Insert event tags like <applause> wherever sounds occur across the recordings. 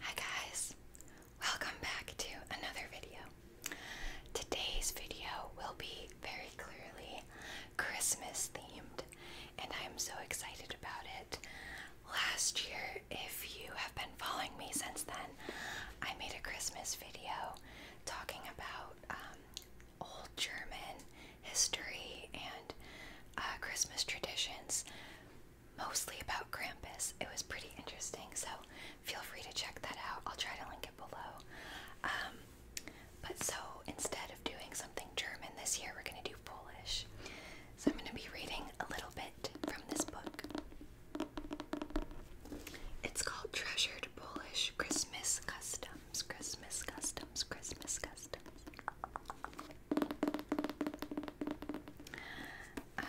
Hi guys, welcome back to another video. Today's video will be very clearly Christmas themed, and I am so excited about it. Last year, if you have been following me since then, I made a Christmas video talking about um, old German history and uh, Christmas traditions, mostly about Krampus. It was pretty interesting, so feel free to check that out. I'll try to link it below. Um, but so instead of doing something German this year, we're going to do Polish. So I'm going to be reading a little bit from this book. It's called Treasured Polish Christmas Customs. Christmas customs, Christmas customs. Um,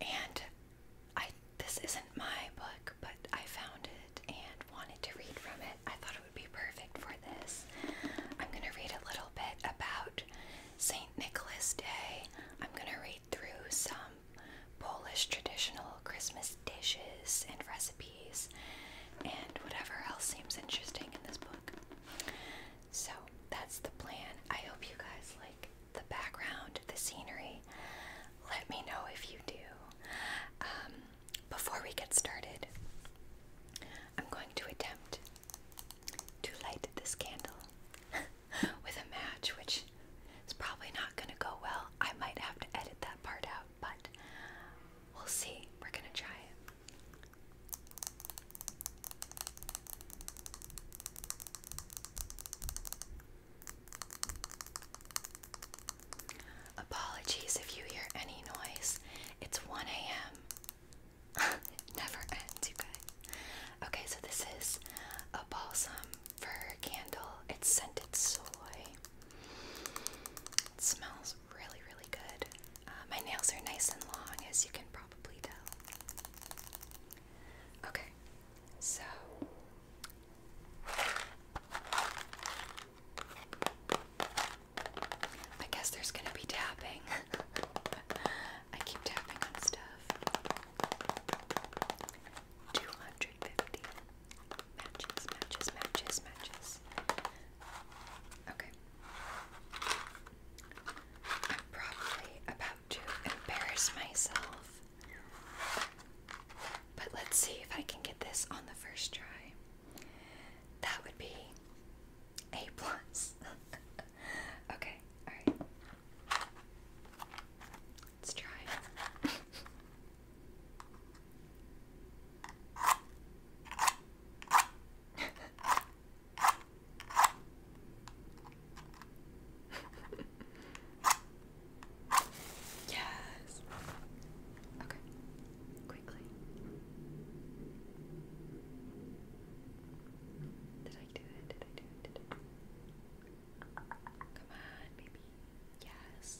and I this isn't my book, but I found it and wanted to read from it. I thought it would be perfect for this. I'm going to read a little bit about St. Nicholas Day. I'm going to read through some Polish traditional Christmas dishes and recipes and whatever else seems interesting in this book. So that's the plan. I hope you guys like the background, the scenery. Let me know if you do. Um, before we get started, I'm going to attempt to light this candle <laughs> with a match, which is probably not going to go well. I might have to edit that part out but we'll see. We're gonna try it. Apologies if you hear any noise. It's 1 a.m. <laughs> never ends, you guys. Okay, so this is a balsam for candle. It's soy. It smells really, really good. Uh, my nails are nice and long, as you can probably tell. Okay, so. I guess there's gonna be tapping. <laughs> I keep tapping on stuff. 250. Matches, matches, matches, matches. Okay. I'm probably about to embarrass myself. But let's see if I can get this on the first try. That would be A plus. <laughs> okay, alright. Let's try yes. Okay. Quickly. Did I do it? Did I do it? Come on, baby. Yes.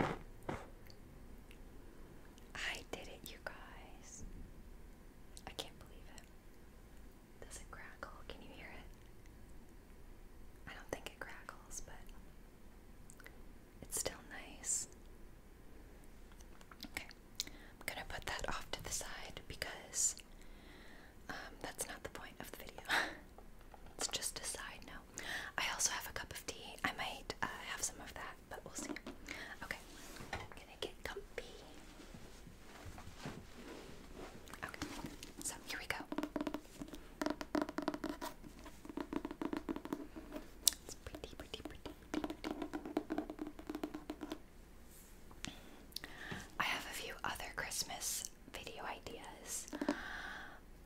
I did it, you guys. I can't believe it. Does it crackle? Can you hear it? I don't think it crackles, but it's still nice. Okay, I'm gonna put that off to the side because um, that's not the point of the video. <laughs> it's just a side note. I also have a cup of tea. I might uh, have some of that, but we'll see. Okay, I'm gonna get comfy. Okay, so here we go. It's pretty, pretty, pretty, pretty. I have a few other Christmas video ideas,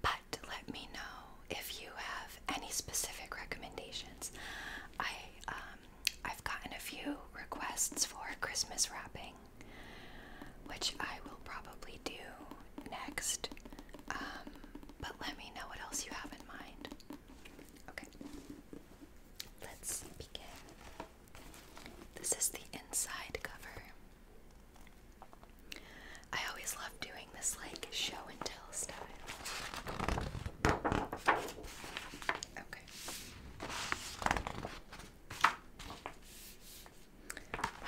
but but let me know if you have any specific recommendations. I um, I've gotten a few requests for Christmas wrapping, which I will probably do next. Um, but let me know what else you have in mind. Okay, let's begin. This is the inside cover. I always love doing this like show and tell style. Okay.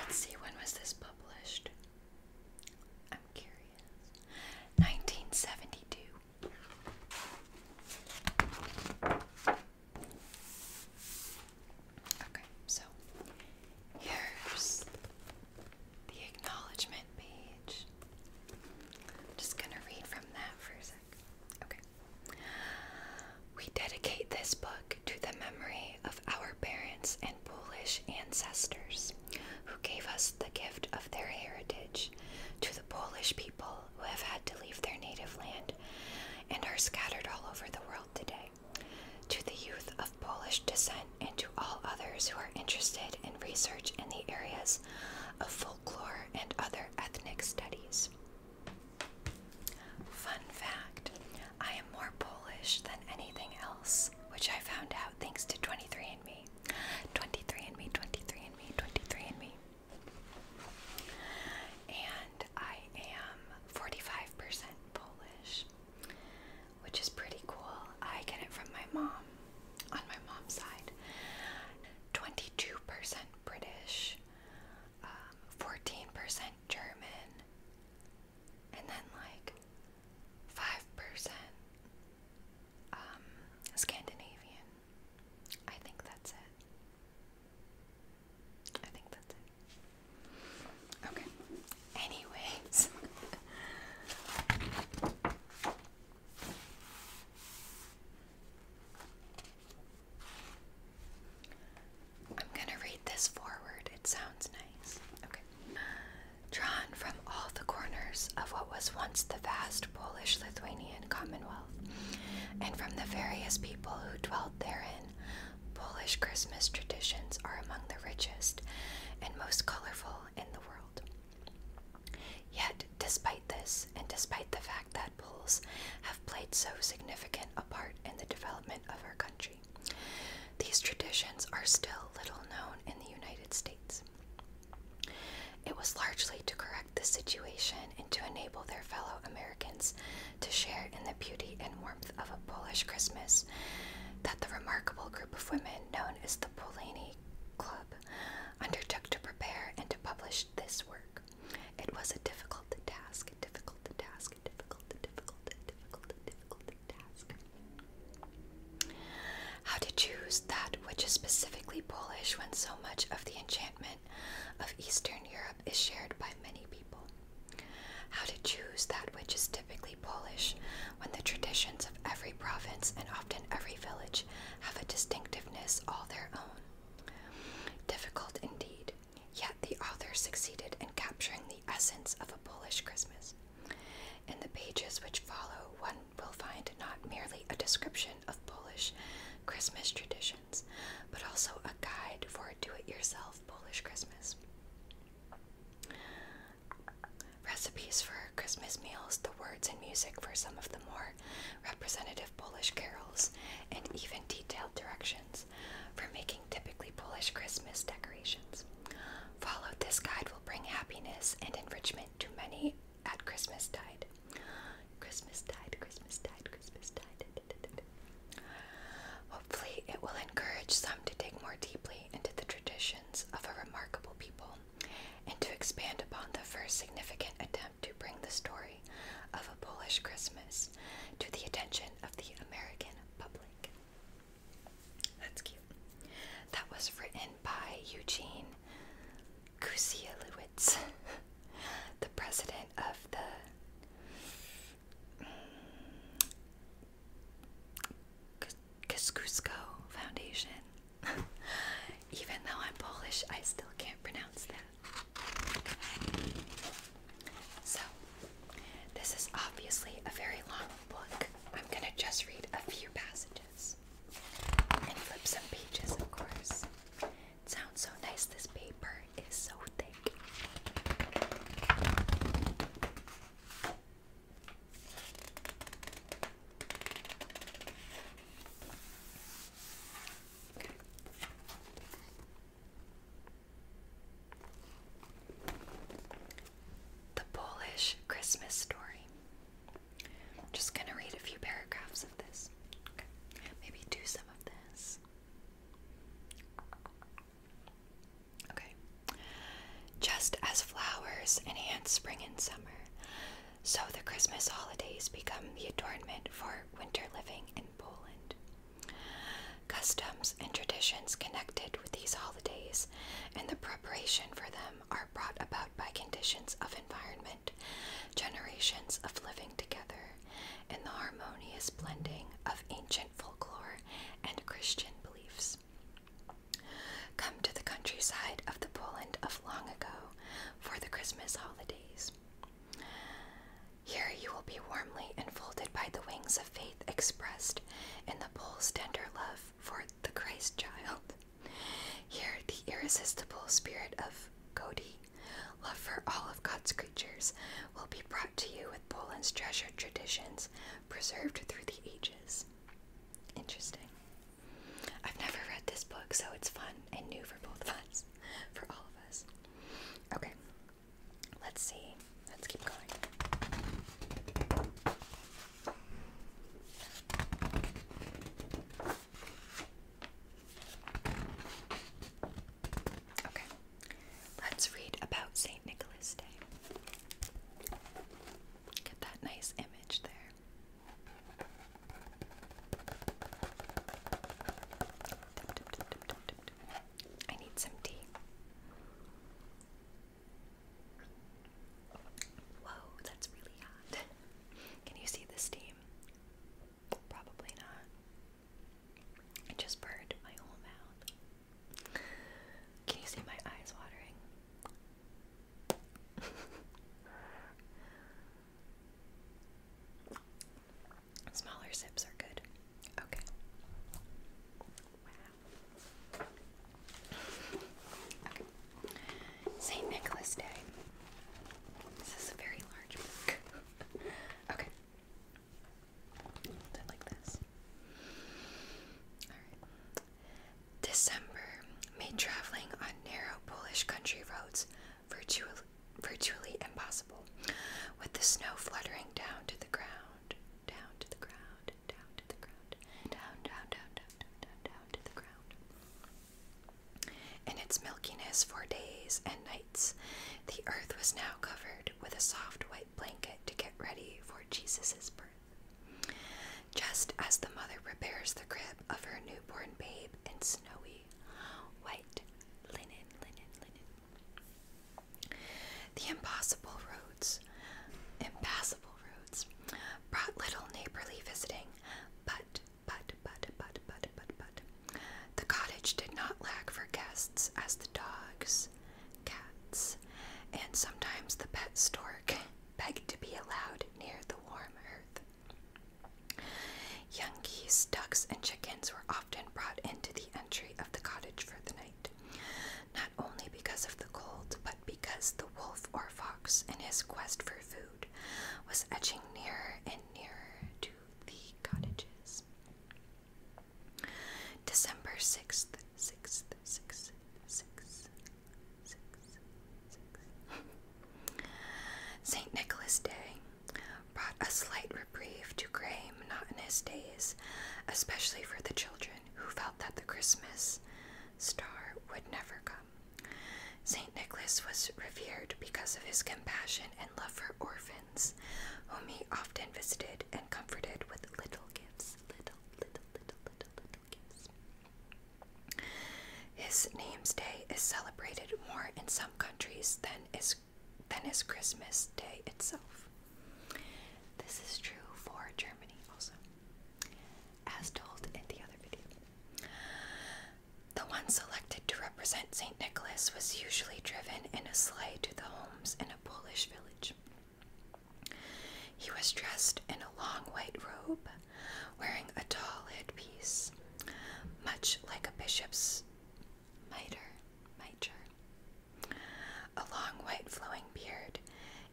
Let's see, when was this published? I'm curious. 1972. Okay, so Here's the acknowledgement page. just going to read from that for a sec. Okay. We dedicate this book to the memory of our parents and Polish ancestors who gave us the gift of their heritage, to the Polish people who have had to leave their native land and are scattered all over the world today. To the youth of Polish descent and to all others who are interested in research in the areas of folklore and other ethnic studies. Fun fact I am more Polish than anything else, which I found out thanks to 23andMe. 23andMe, 23andMe, 23andMe. And I am 45% Polish which is pretty cool. I get it from my mom on my mom's side. 22% British, 14% um, German, and then like 5% um, Scandinavian. I think that's it. I think that's it. Okay. Anyways. <laughs> I'm going to read this forward. It sounds nice. Okay. Drawn from all the corners of what was once the vast Polish Lithuanian Commonwealth, and from the various people who dwelt therein, Polish Christmas traditions are among the richest and most colorful in the world. Yet, despite this, and despite the fact that bulls have played so significant a part in the development of our country, these traditions are still little known in the United States. It was largely to correct this situation and to enable their fellow Americans to share in the beauty and warmth warmth of a Polish Christmas that the remarkable group of women known as the Polani Club undertook to prepare and to publish this work. It was a difficult task, difficult task, difficult, difficult, difficult, difficult task. How to choose that which is specifically Polish when so much of the enchantment of Eastern Europe is shared by many people. How to choose that which is Polish, when the traditions of every province and often every village have a distinctiveness all their own. Difficult indeed, yet the author succeeded in capturing the essence of a Polish Christmas. In the pages which follow, one will find not merely a description of Polish Christmas traditions, but also a guide for a do it yourself Polish Christmas. Recipes for Christmas meals, the words and music for some of the more representative Polish carols, and even detailed directions for making typically Polish Christmas decorations. Follow this guide will bring happiness and enrichment to many at Christmastide. Christmastide, Christmastide, Christmastide. Hopefully, it will encourage some to dig more deeply into the tradition of a remarkable people, and to expand upon the first significant attempt to bring the story of a Polish Christmas to the attention of the American public. That's cute. That was written by Eugene Kusielewicz, <laughs> the president of the mm, Kosciuszko Foundation. <laughs> Even though I'm Polish, I still can't pronounce that. So, this is obviously a very long book. I'm going to just read a few passages and flip some pages, of course. It sounds so nice. This paper is so thick. The Polish Christmas Story. I'm just going to read a few paragraphs of this. Maybe do some of this. Okay. Just as flowers enhance spring and summer, so the Christmas holidays become the adornment for winter living in Poland. Customs and traditions connected with these holidays and the preparation for them are brought about by conditions of environment, generations of living together, and the harmonious blending of ancient folklore and Christian beliefs. Come to the countryside of the Poland of long ago for the Christmas holidays. Here you will be warmly enfolded by the wings of faith expressed in the Pole's tender love for the Christ child. Here the irresistible spirit of Godi, love for all of God's creatures, will be brought to you with Poland's treasured traditions preserved through the ages. Interesting. I've never read this book, so it's fun and new for both of us, <laughs> for all of us. Okay, let's see. Let's keep going. Okay, let's read about St. Nicholas Day. Get that nice image there. I need some tea. Whoa, that's really hot. Can you see the steam? Probably not. I just burned my whole mouth. Can you see my eyes watering? <laughs> Smaller sips are good. Okay. Wow. Okay. St. Nicholas Day. This is a very large book. <laughs> okay. Did like this. December made traveling on narrow Polish country roads virtually, impossible, with the snow fluttering down to the ground, down to the ground, down to the ground, down, down, down, down, down, down, down to the ground. In its milkiness for days and nights, the earth was now covered with a soft white blanket to get ready for Jesus' birth. Just as the mother prepares the crib of her newborn babe in snowy white linen, linen, linen. The impossible roads, impassable roads, brought little neighborly visiting, but, but, but, but, but, but, but, the cottage did not lack for guests as the dogs, cats, and sometimes the pet stork begged to be allowed near the warm earth. Young geese, ducks, and chickens were often brought into the entry of the cottage for the night, not only because of the cold, but because the wolf or fox, in his quest for food, was edging nearer and nearer to the cottages. December 6th, 6th, six, 6th. St. Nicholas Day brought a slight reprieve to gray, monotonous days, especially for the children who felt that the Christmas star would never come. St. Nicholas was revered because of his compassion and love for orphans, whom he often visited and comforted with little gifts. Little, little, his name's day is celebrated more in some countries than is than is Christmas Day itself. This is true for Germany also, as told in the other video. The one selected to represent St. Nicholas was usually driven in a sleigh to the homes in a Polish village. He was dressed in a long white robe, wearing a tall headpiece, much like a bishop's mitre, mitre, a long white flowing beard,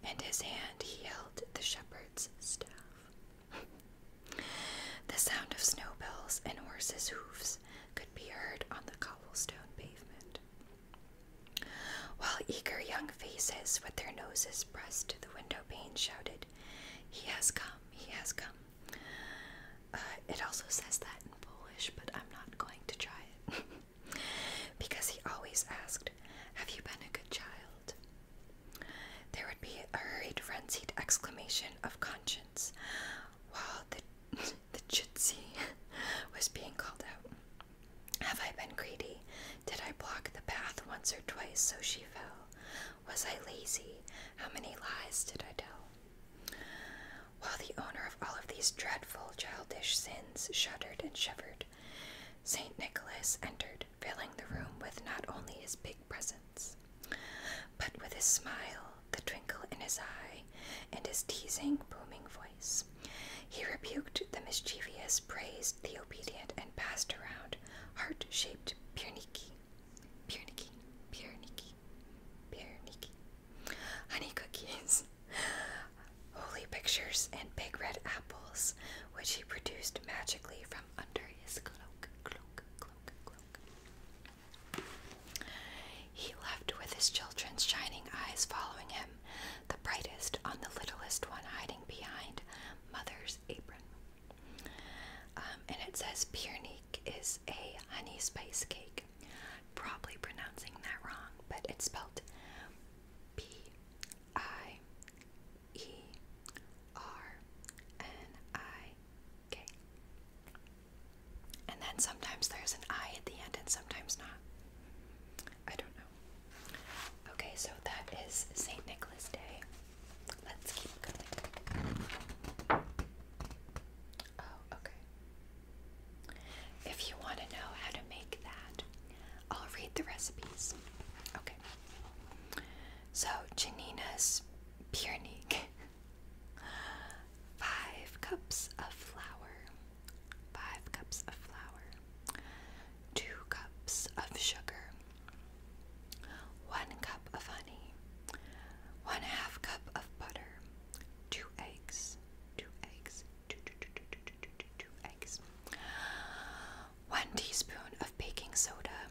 and his hand held the shepherd's staff. the sound of snow bells and horses' hoofs could be heard on the cobblestone pavement. While eager young faces with their noses pressed to the window pane shouted, He has come, he has come. Uh, it also says that in Polish, but I'm not going to try it. <laughs> because he always asked, Have you been a good child? There would be a hurried, frenzied exclamation of conscience while the, <laughs> the Jitsi <laughs> was being called out. Have I been greedy? Did I block the path once or twice so she fell? Was I lazy? How many lies did I tell? While the owner of all of these dreadful childish sins shuddered and shivered, St. Nicholas entered, filling the room with not only his big presence, but with his smile, the twinkle in his eye, and his teasing, booming voice. He rebuked the mischievous, praised the obedient, and passed around heart shaped pierniki, pierniki, pierniki, pierniki, honey cookies, holy pictures, and big red apples, which he produced magically from under his cloak, cloak, cloak, cloak. He left with his children's shining eyes following him the brightest on the littlest one hiding behind mother's apron. Um, and it says Piernique is a honey spice cake. Probably pronouncing that wrong, but it's spelled P I E R N I K. And then sometimes there's an I at the end and sometimes not. I don't know. Okay, so that is St. Nicholas Day. Let's keep going. Oh, okay. If you want to know how to make that, I'll read the recipes. Okay. So, Janina's Piernik. Five cups of flour. Five cups of flour two cups of sugar, one cup of honey, one half cup of butter, two eggs, two eggs, two, two, two, two, two, two, two, two eggs, one teaspoon of baking soda,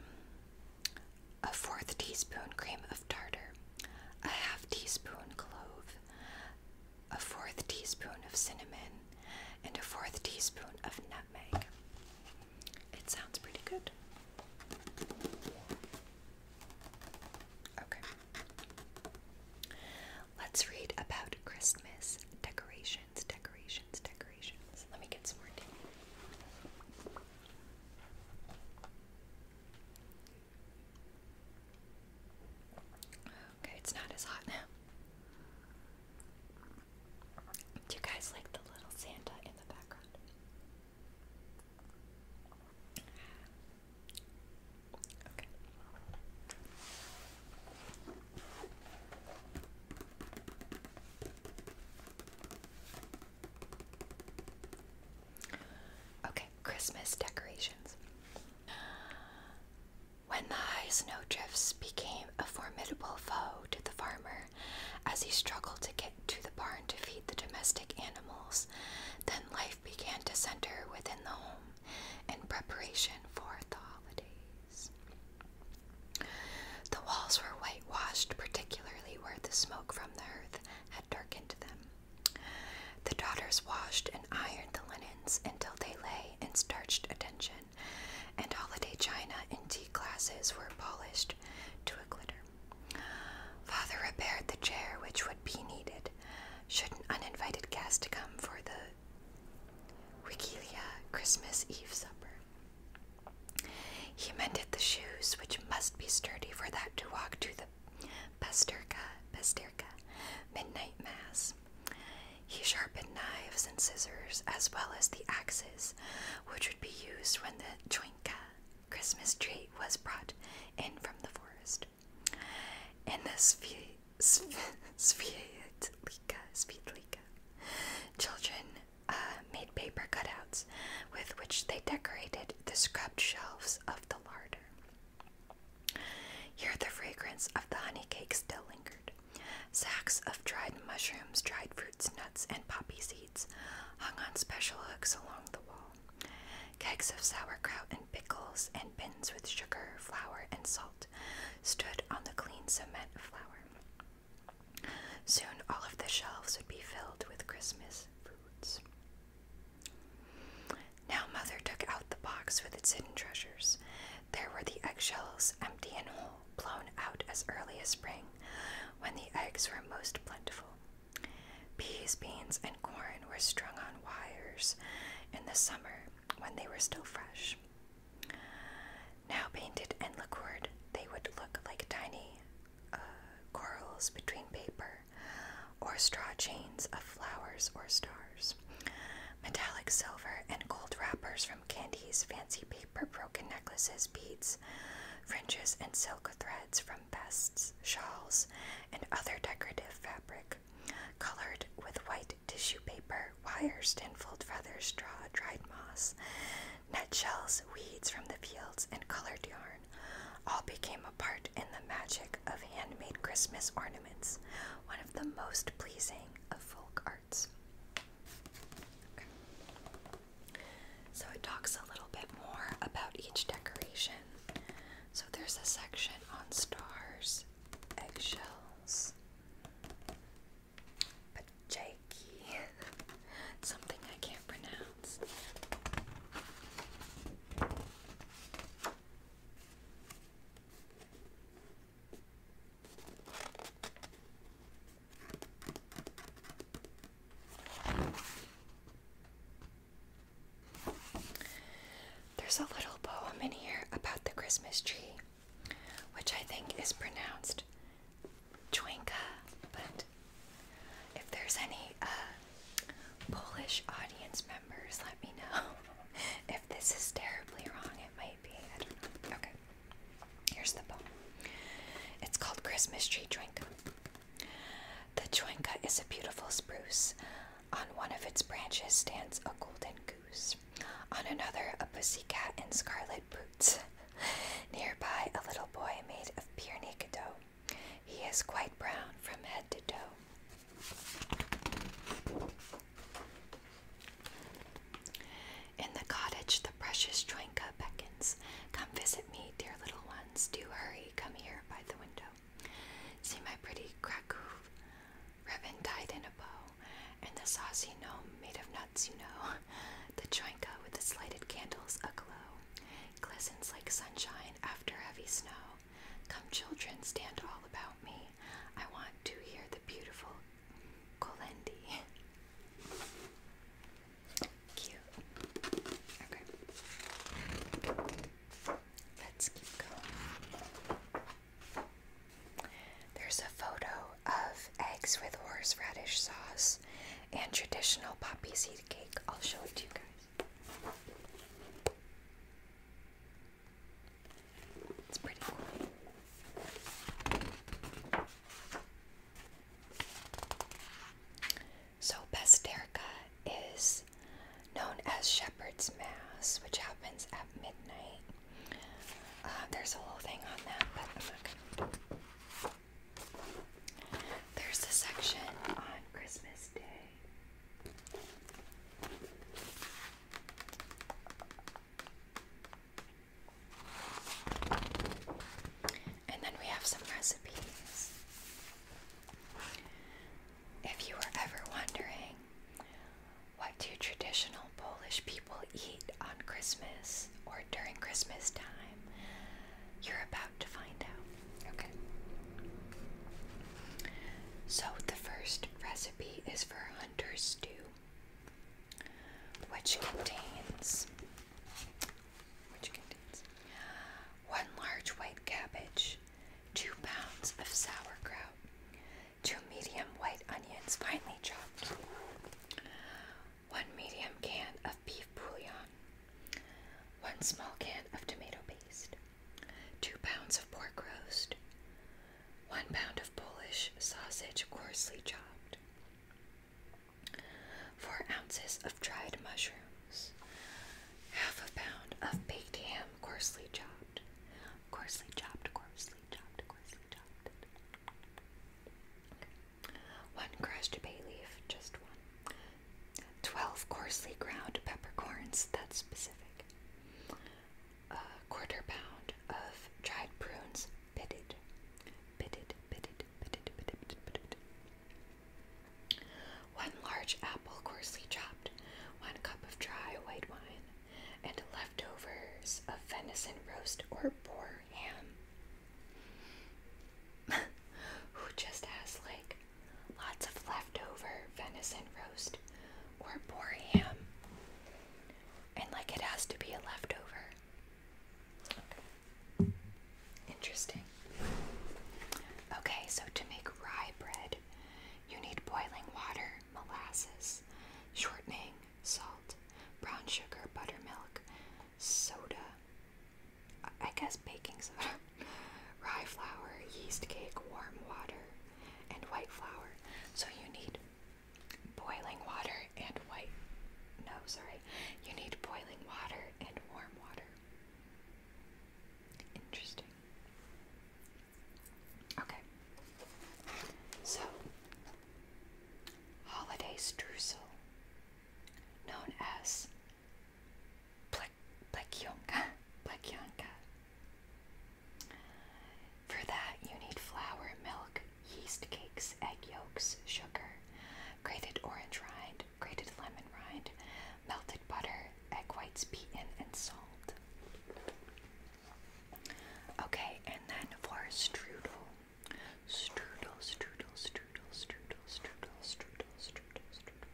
a fourth teaspoon cream of tartar, a half teaspoon clove, a fourth teaspoon of cinnamon, and a fourth teaspoon of nutmeg. It sounds pretty good. Okay. Let's read about Christmas decorations, decorations, decorations. Let me get some more tea. Okay, it's not as hot now. Do you guys like the little Santa in the background? Okay. Okay, Christmas decorations. When the high snowdrifts became a formidable foe to the farmer as he struggled to get to the barn to feed the domestic animals, then life began to center within the home in preparation for the holidays. The walls were whitewashed, particularly where the smoke from the hearth had darkened them. The daughters washed and ironed the linens until they lay in starched attention and holiday china and tea glasses were polished to a glitter. Father repaired the chair which would be needed should an uninvited guest come for the Wikilia Christmas Eve supper. He mended the shoes which must be sturdy for that to walk to the Pasterka, Pasterka midnight mass. He sharpened knives and scissors as well as the axes, which would be used when the choinka Christmas tree was brought in from the forest. In the Svietlika, Svietlika, children uh, made paper cutouts with which they decorated the scrubbed shelves of the larder. Here the fragrance of the honey cake still lingered. Sacks of dried mushrooms, dried fruits, nuts, and poppy seeds hung on special hooks along the wall. Kegs of sauerkraut and pickles and bins with sugar, flour, and salt stood on the clean cement floor. Soon all of the shelves would be filled with Christmas foods. Now Mother took out the box with its hidden treasures. There were the eggshells, empty and whole blown out as early as spring, when the eggs were most plentiful. Peas, beans, and corn were strung on wires in the summer when they were still fresh. Now painted and liqueured, they would look like tiny uh, corals between paper or straw chains of flowers or stars, metallic silver, and gold wrappers from candies, fancy paper, broken necklaces, beads, fringes, and silk threads from vests, shawls, and other decorative fabric, colored with white tissue paper, wires, tinfoiled feathers, straw, dried moss, net shells, weeds from the fields, and colored yarn all became a part in the magic of handmade Christmas ornaments, one of the most pleasing of folk arts. So it talks a little bit more about each decoration. So there's a section on stars, eggshells, pacheki, <laughs> something I can't pronounce. There's a little poem in here about the Christmas tree, which I think is pronounced Twinka, but if there's any uh, Polish audience members, let me know. <laughs> if this is terribly wrong, it might Okay. Here's the poem. It's called Christmas Tree Joinka. The joinka is a beautiful spruce. On one of its branches stands a golden goose. On another, a pussy cat in scarlet boots. Nearby, a little boy made of pure naked dough. He is quite brown from head to toe. In the cottage, the precious Joinka beckons. Come visit me, dear little ones. Do hurry, come here by the window. See my pretty Krakow ribbon tied in a bow, and the saucy gnome made of nuts, you know. <laughs> The Joinka with the lighted candles aglow glistens like sunshine after heavy snow. Come, children, stand all about me. I want to hear the beautiful Colendi. Cute. Okay. Let's keep going. There's a photo of eggs with horseradish sauce and traditional poppy seed cake. I'll show it to you guys. It's pretty so, Pasterka is known as Shepherd's Mass, which happens at midnight. Uh, there's a whole thing on that, but There's a section on Christmas Day. And then we have some recipes. If you were ever wondering, what do traditional Polish people eat on Christmas or during Christmas time? You're about to find out. Okay. So the first recipe is for hunter's stew which contains which contains one large white cabbage, two pounds of sauerkraut, two medium white onions finely chopped, one medium can of beef bouillon, one small can of tomato paste, two pounds of pork roast, one pound of Polish sausage coarsely chopped, 4 ounces of dried mushrooms, half a pound of baked ham coarsely chopped, coarsely chopped, coarsely chopped, coarsely chopped. One crushed bay leaf, just one. 12 coarsely ground peppercorns, that's specific. A quarter pound of dried prunes, one large apple coarsely chopped, one cup of dry white wine, and leftovers of venison roast or boar ham. <laughs> Who just has like lots of leftover venison roast or boar ham? And like it has to be a leftover. Okay. Interesting. Okay, so to make rye bread, you need boiling water, molasses, shortening, salt, brown sugar, buttermilk, soda, I guess baking soda, <laughs> rye flour, yeast cake, warm water, and white flour. So you need boiling water and white. No, sorry. You need boiling water and warm water. Interesting. Okay. So, holiday streusel, known as plekionka, <laughs> plekionka. For that, you need flour, milk, yeast cakes, egg yolks, sugar, grated orange rind, grated lemon rind, melted butter, egg whites beaten, and salt. Okay, and then for strudel. Strudel, strudel, strudel, strudel, strudel, strudel, strudel, strudel.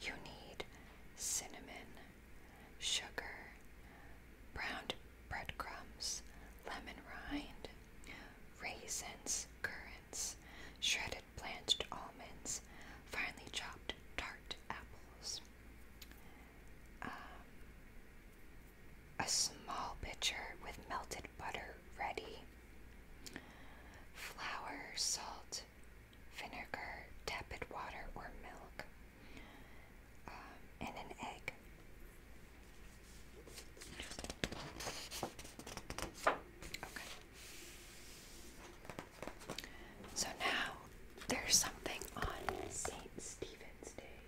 You need cinnamon, sugar, browned breadcrumbs, lemon rind, raisins, currants, shredded blanched almonds, finely chopped tart apples. Um, a small pitcher with melted butter ready. Flour, salt, vinegar, tepid water or milk and an egg. Okay. So now there's something on St. Stephen's Day.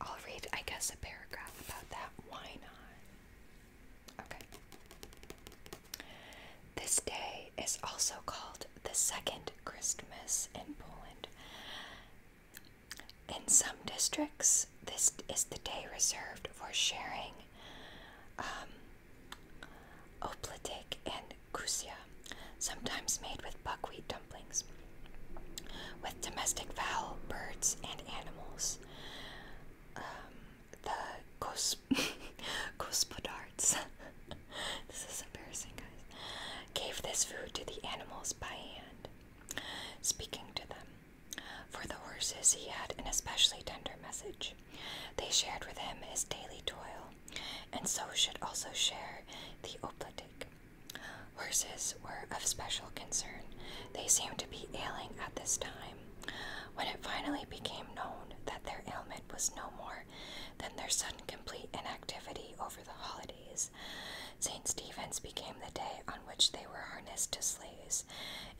I'll read, I guess, a paragraph about that. Why not? Okay. This day is also called the second Christmas in Poland, in some districts, this is the day reserved for sharing um, and kusia, sometimes made with buckwheat dumplings, with domestic fowl, birds, and animals. Um, the kos- gospodarts <laughs> <laughs> <laughs> this is embarrassing, guys. Gave this food to the animals by hand, speaking to them. For the horses, he had an especially tender message. They shared with him his daily toil, and so should also share the oblitic. Horses were of special concern. They seemed to be ailing at this time. When it finally became known that their ailment was no more more than their sudden complete inactivity over the holidays. St. Stephen's became the day on which they were harnessed to sleighs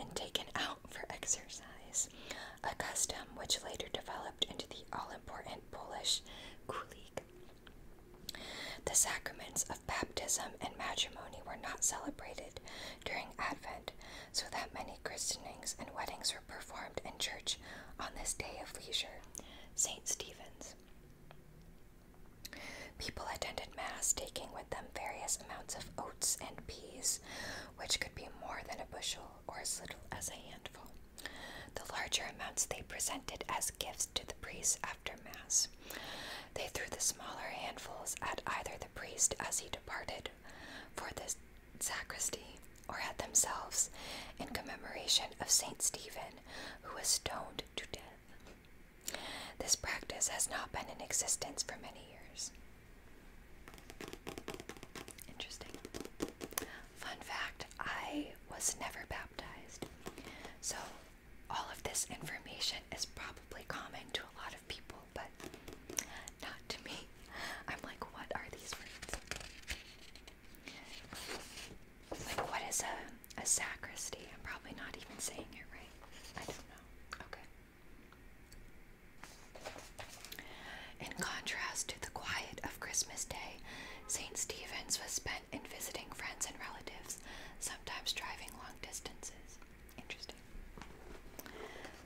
and taken out for exercise, a custom which later developed into the all important Polish kulig. The sacraments of baptism and matrimony were not celebrated during Advent, so that many christenings and weddings were performed in church on this day of leisure, St. Stephen's. People attended Mass taking with them various amounts of oats and peas, which could be more than a bushel or as little as a handful. The larger amounts they presented as gifts to the priests after Mass. They threw the smaller handfuls at either the priest as he departed for the sacristy or at themselves in commemoration of St. Stephen who was stoned to death. This practice has not been in existence for many years. Interesting. Fun fact I was never baptized. So, all of this information is probably common to a lot of people, but not to me. I'm like, what are these words? Like, what is a a sacristy. I'm probably not even saying it right. I don't know. Okay. In contrast to the quiet of Christmas Day, St. Stephen's was spent in visiting friends and relatives, sometimes driving long distances. Interesting.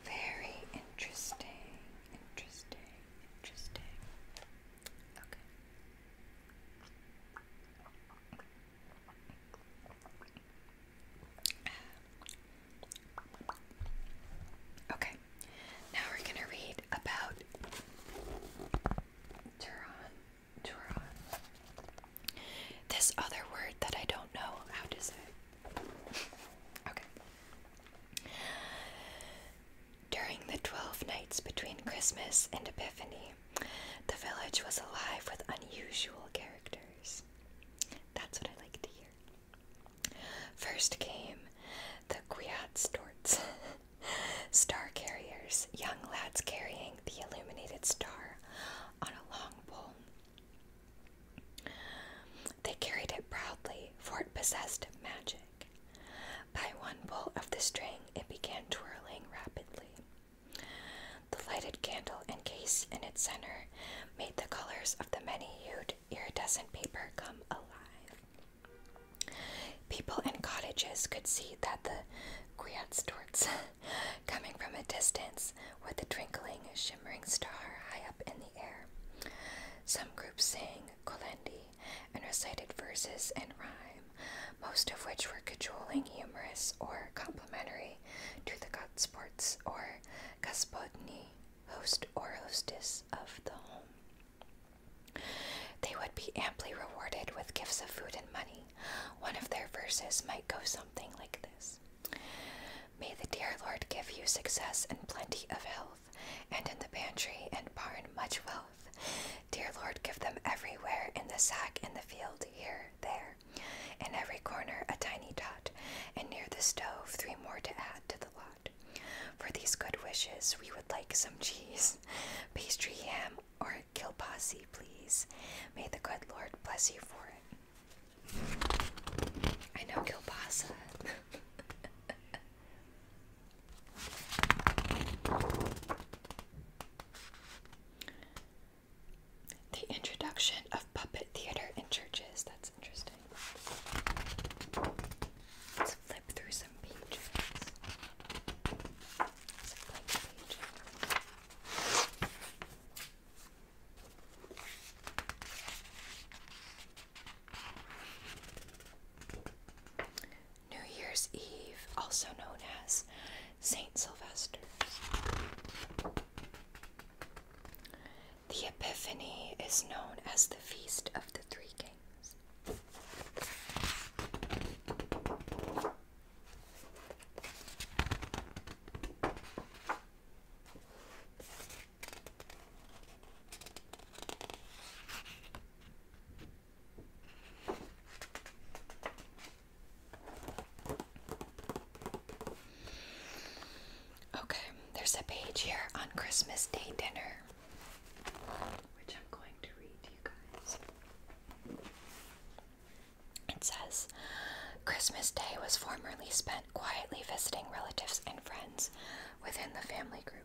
Very interesting. Interesting. Interesting. Okay. Okay, now we're going to read about Turon. Turon. This other word that I don't know how to say. okay. During the twelve nights between Christmas and Epiphany, the village was alive with unusual characters. That's what I like to hear. First came the Kwiatstorts, <laughs> star carriers, young lads carrying the illuminated star on a long pole. They carried it proudly, for it possessed magic. By one pull of the string, it began twirling rapidly. The lighted candle encased in its center made the colors of the many hued iridescent paper come alive. People in cottages could see that the Kwiatstorts, <laughs> coming from a distance, with a twinkling, shimmering star high up in the air. Some groups sang Kolendi, and recited verses in rhyme, most of which were cajoling, humorous, or complimentary to the godsports or gospodni, host or hostess of the home. They would be amply rewarded with gifts of food and money. One of their verses might go something like this. May the dear Lord give you success and plenty of health, and in the pantry and barn much wealth Dear Lord, give them everywhere in the sack, in the field, here, there. In every corner, a tiny dot, and near the stove, three more to add to the lot. For these good wishes, we would like some cheese, <laughs> pastry, ham, or kilpasi, please. May the good Lord bless you for it. I know kilpasa. <laughs> The introduction of puppet theater in churches. That's interesting. Let's flip through some pages. New Year's Eve, also known as St. Sylvester's. The Epiphany is known as the Feast of the Three Kings. Okay, there's a page here on Christmas Day dinner, which I'm going to read to you guys. It says Christmas Day was formerly spent quietly visiting relatives and friends within the family group.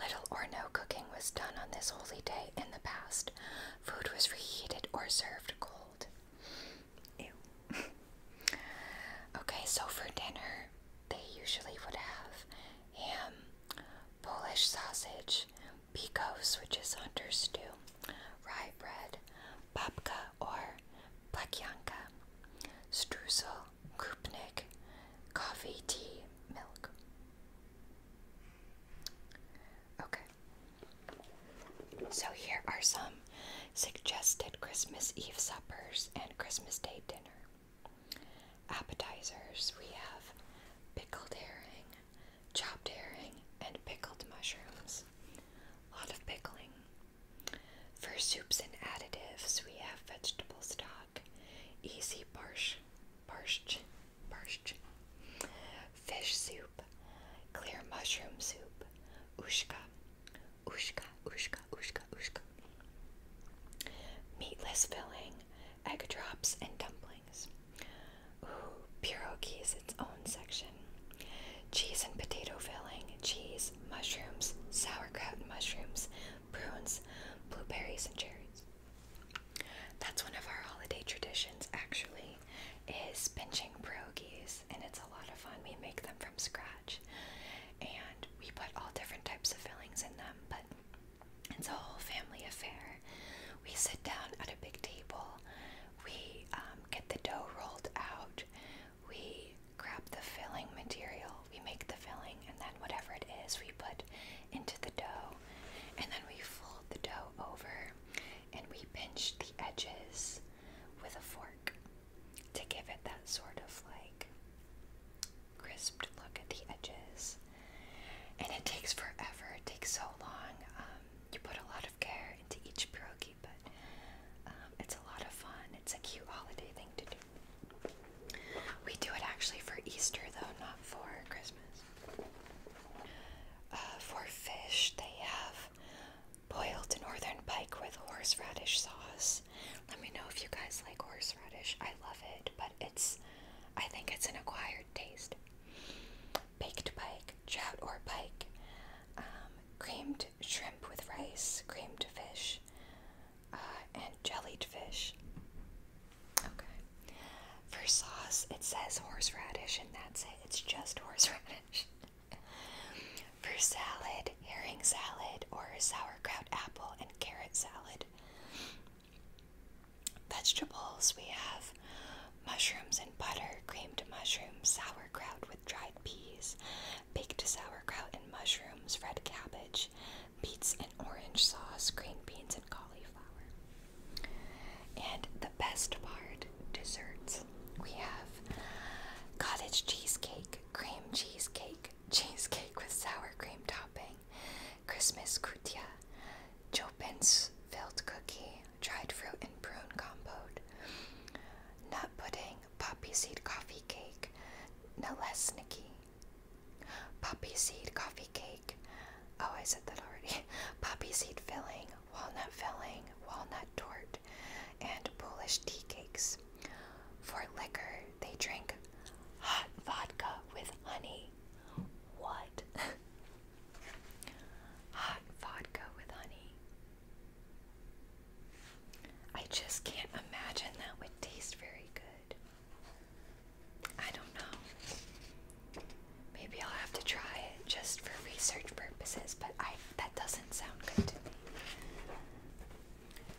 Little or no cooking was done on this holy day in the past. Food was reheated or served cold. <laughs> okay, so for dinner, they usually would have ham, Polish sausage, bikos, which is hunter stew, rye bread, babka or plakianka, streusel, koupnik, coffee, tea, milk. Okay. So here are some suggested Christmas Eve suppers and Christmas Day dinner. Appetizers we have pickled herring, chopped herring, and pickled mushrooms. A lot of pickling. For soups and additives, we have vegetable stock, easy parsh, parsh. Persh. Fish soup, clear mushroom soup, ushka, ushka, ushka, ushka, ushka. Meatless filling, egg drops, and dumplings. Ooh, pierogi is its own section. Cheese and potato filling, cheese, mushrooms, sauerkraut mushrooms, prunes, blueberries, and cherries. That's one of our holiday traditions actually is pinching pierogies and it's a lot of fun. We make them from scratch and we put all different types of fillings in them, but it's a whole family affair. We sit down at a big table, we um, get the dough rolled out, we grab the filling material, we make the filling, and then whatever it is, we put into the dough, and then we fold the dough over and we pinch the edges with a fork to give it that sort of like crisped look at the edges. And it takes forever, it takes so long. Um, you put a lot of care into each pierogi, but um, it's a lot of fun. It's a cute holiday thing to do. We do it actually for Easter, though, not for Christmas. Uh, for fish, they have boiled northern pike with horseradish sauce. Let me know if you guys like horseradish. I love it, but it's, I think it's an acquired taste. Baked pike, trout or pike, um, creamed shrimp with rice, creamed fish, uh, and jellied fish. Okay. For sauce, it says horseradish, and that's it. It's just horseradish. <laughs> For salad, herring salad, or sauerkraut apple and carrot salad. Vegetables, we have mushrooms and butter, creamed mushrooms, sauerkraut with dried peas, baked sauerkraut and mushrooms, red cabbage, beets and orange sauce, green beans and cauliflower. And the best part desserts. We have cottage cheesecake, cream cheesecake, cheesecake with sour cream topping, Christmas kutia, Chopin's filled cookie, dried fruit and prune compote, nut pudding, poppy seed coffee cake, nalesniki, poppy seed coffee cake, Oh, I said that already. <laughs> Poppy seed filling, walnut filling, walnut tort, and Polish tea cakes. For liquor, they drink hot vodka with honey. What? <laughs> hot vodka with honey. I just can't imagine that would taste very good. I don't know. Maybe I'll have to try it just for research purposes, but I that doesn't sound good to me.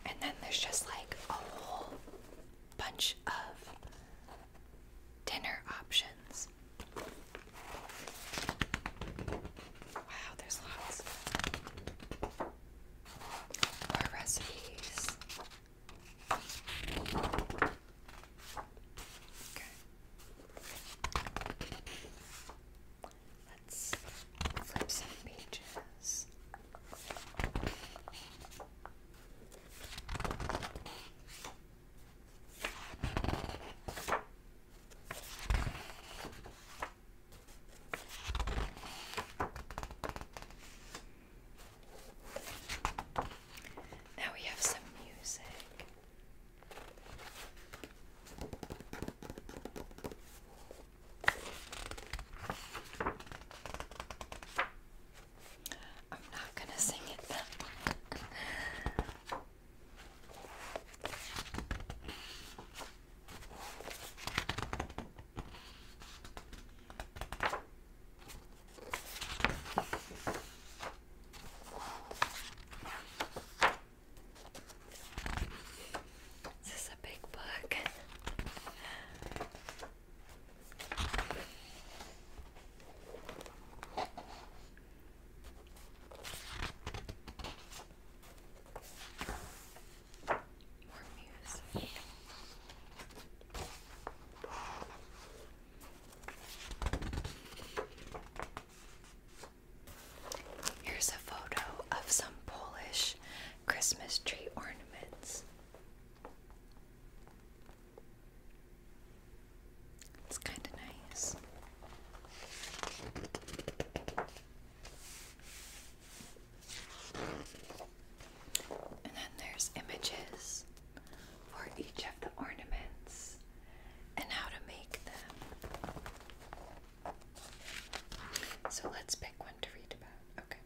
And then there's just like a whole bunch of dinner options. Wow, there's lots. of recipes. Okay. Let's flip some pages. Okay. Now we have some music. I'm not going to sing it this Is a big book? More music. Here's a photo of some Polish Christmas tree ornaments. It's kind of nice. And then there's images for each of the ornaments and how to make them. So let's pick one to read about. Okay.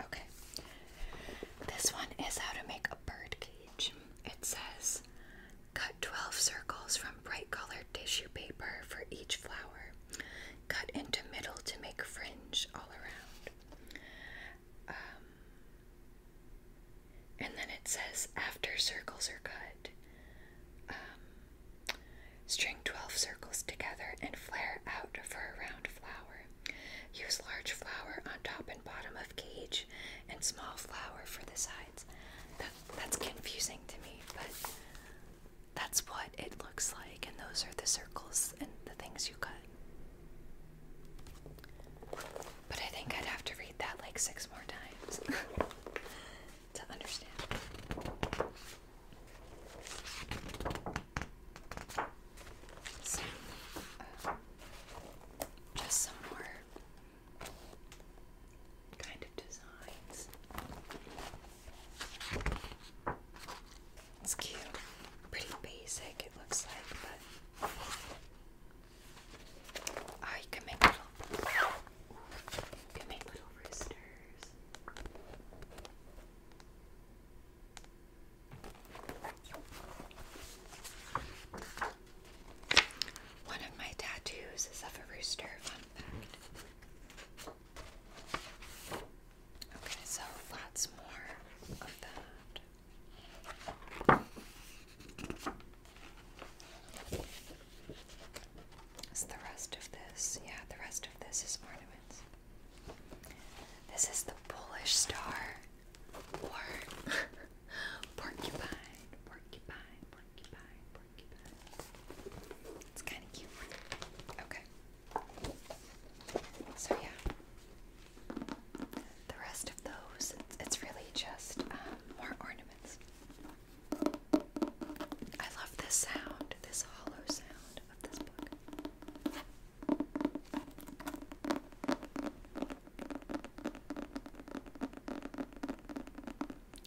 Okay. This one is how to make a bird cage. It says cut 12 circles from bright colored tissue paper for each flower. Cut into middle to make fringe all around. Um, and then it says after circles are cut, um, string 12 circles together and flare out for a round flower. Use large flower on top and bottom of cage and small flower for the sides. that's confusing to me, but that's what it looks like, and those are the circles and the things you cut. But I think I'd have to read that like six more times <laughs> to understand. Uh, just some more kind of designs. It's cute. Pretty basic, it looks like, but. Oh, you can make little. You can make little roosters. One of my tattoos is of a rooster, Okay, so lots more of that. It's the rest of this. Yeah, the rest of this is ornaments. This is the Polish star or <laughs> porcupine, porcupine, porcupine, it's kind of cute. Okay. So yeah, the rest of those, it's, really just um, more ornaments. I love this sound, this hollow sound of this book.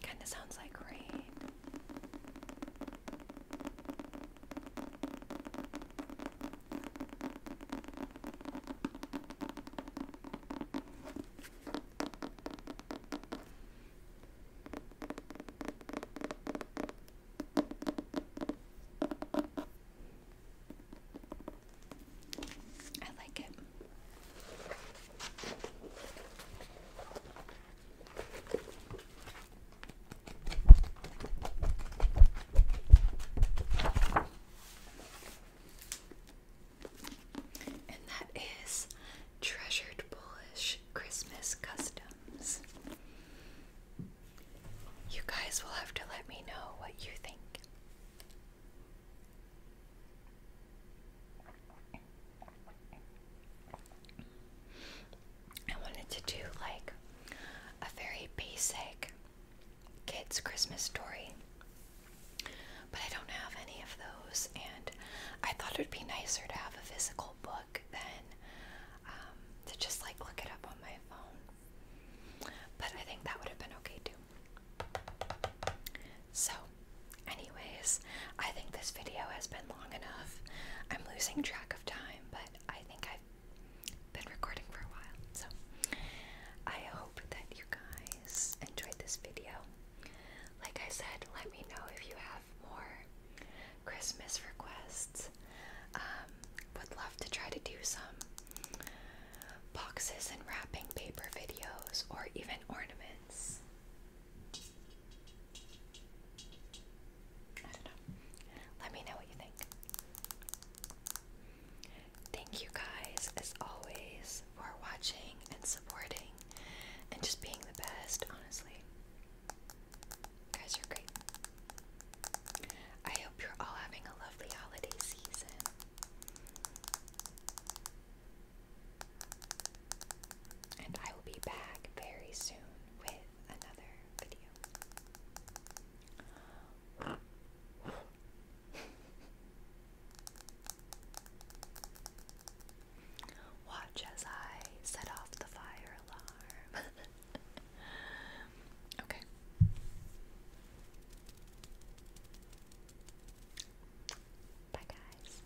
Kind of sounds like rain. I like it. And that is Treasured Polish Christmas Customs. You guys will have to let me know what you think. I wanted to do like a very basic kids' Christmas story, but I don't have any of those, and I thought it would be nicer to have a physical book than um, to just like look it up on my phone. But I think that would have been okay too. So Anyways, I think this video has been long enough. I'm losing track of time, but I think I've been recording for a while. So I hope that you guys enjoyed this video. Like I said, let me know if you have more Christmas requests. Um, would love to try to do some boxes and wrapping paper videos or even ornaments. Let me know what you think. Thank you guys, as always, for watching and supporting and just being the best, honestly. guys, You are great. I hope you're all having a lovely holiday season and I will be back very soon with another video. <laughs> Watch as I set off the fire alarm. <laughs> okay. Bye, guys.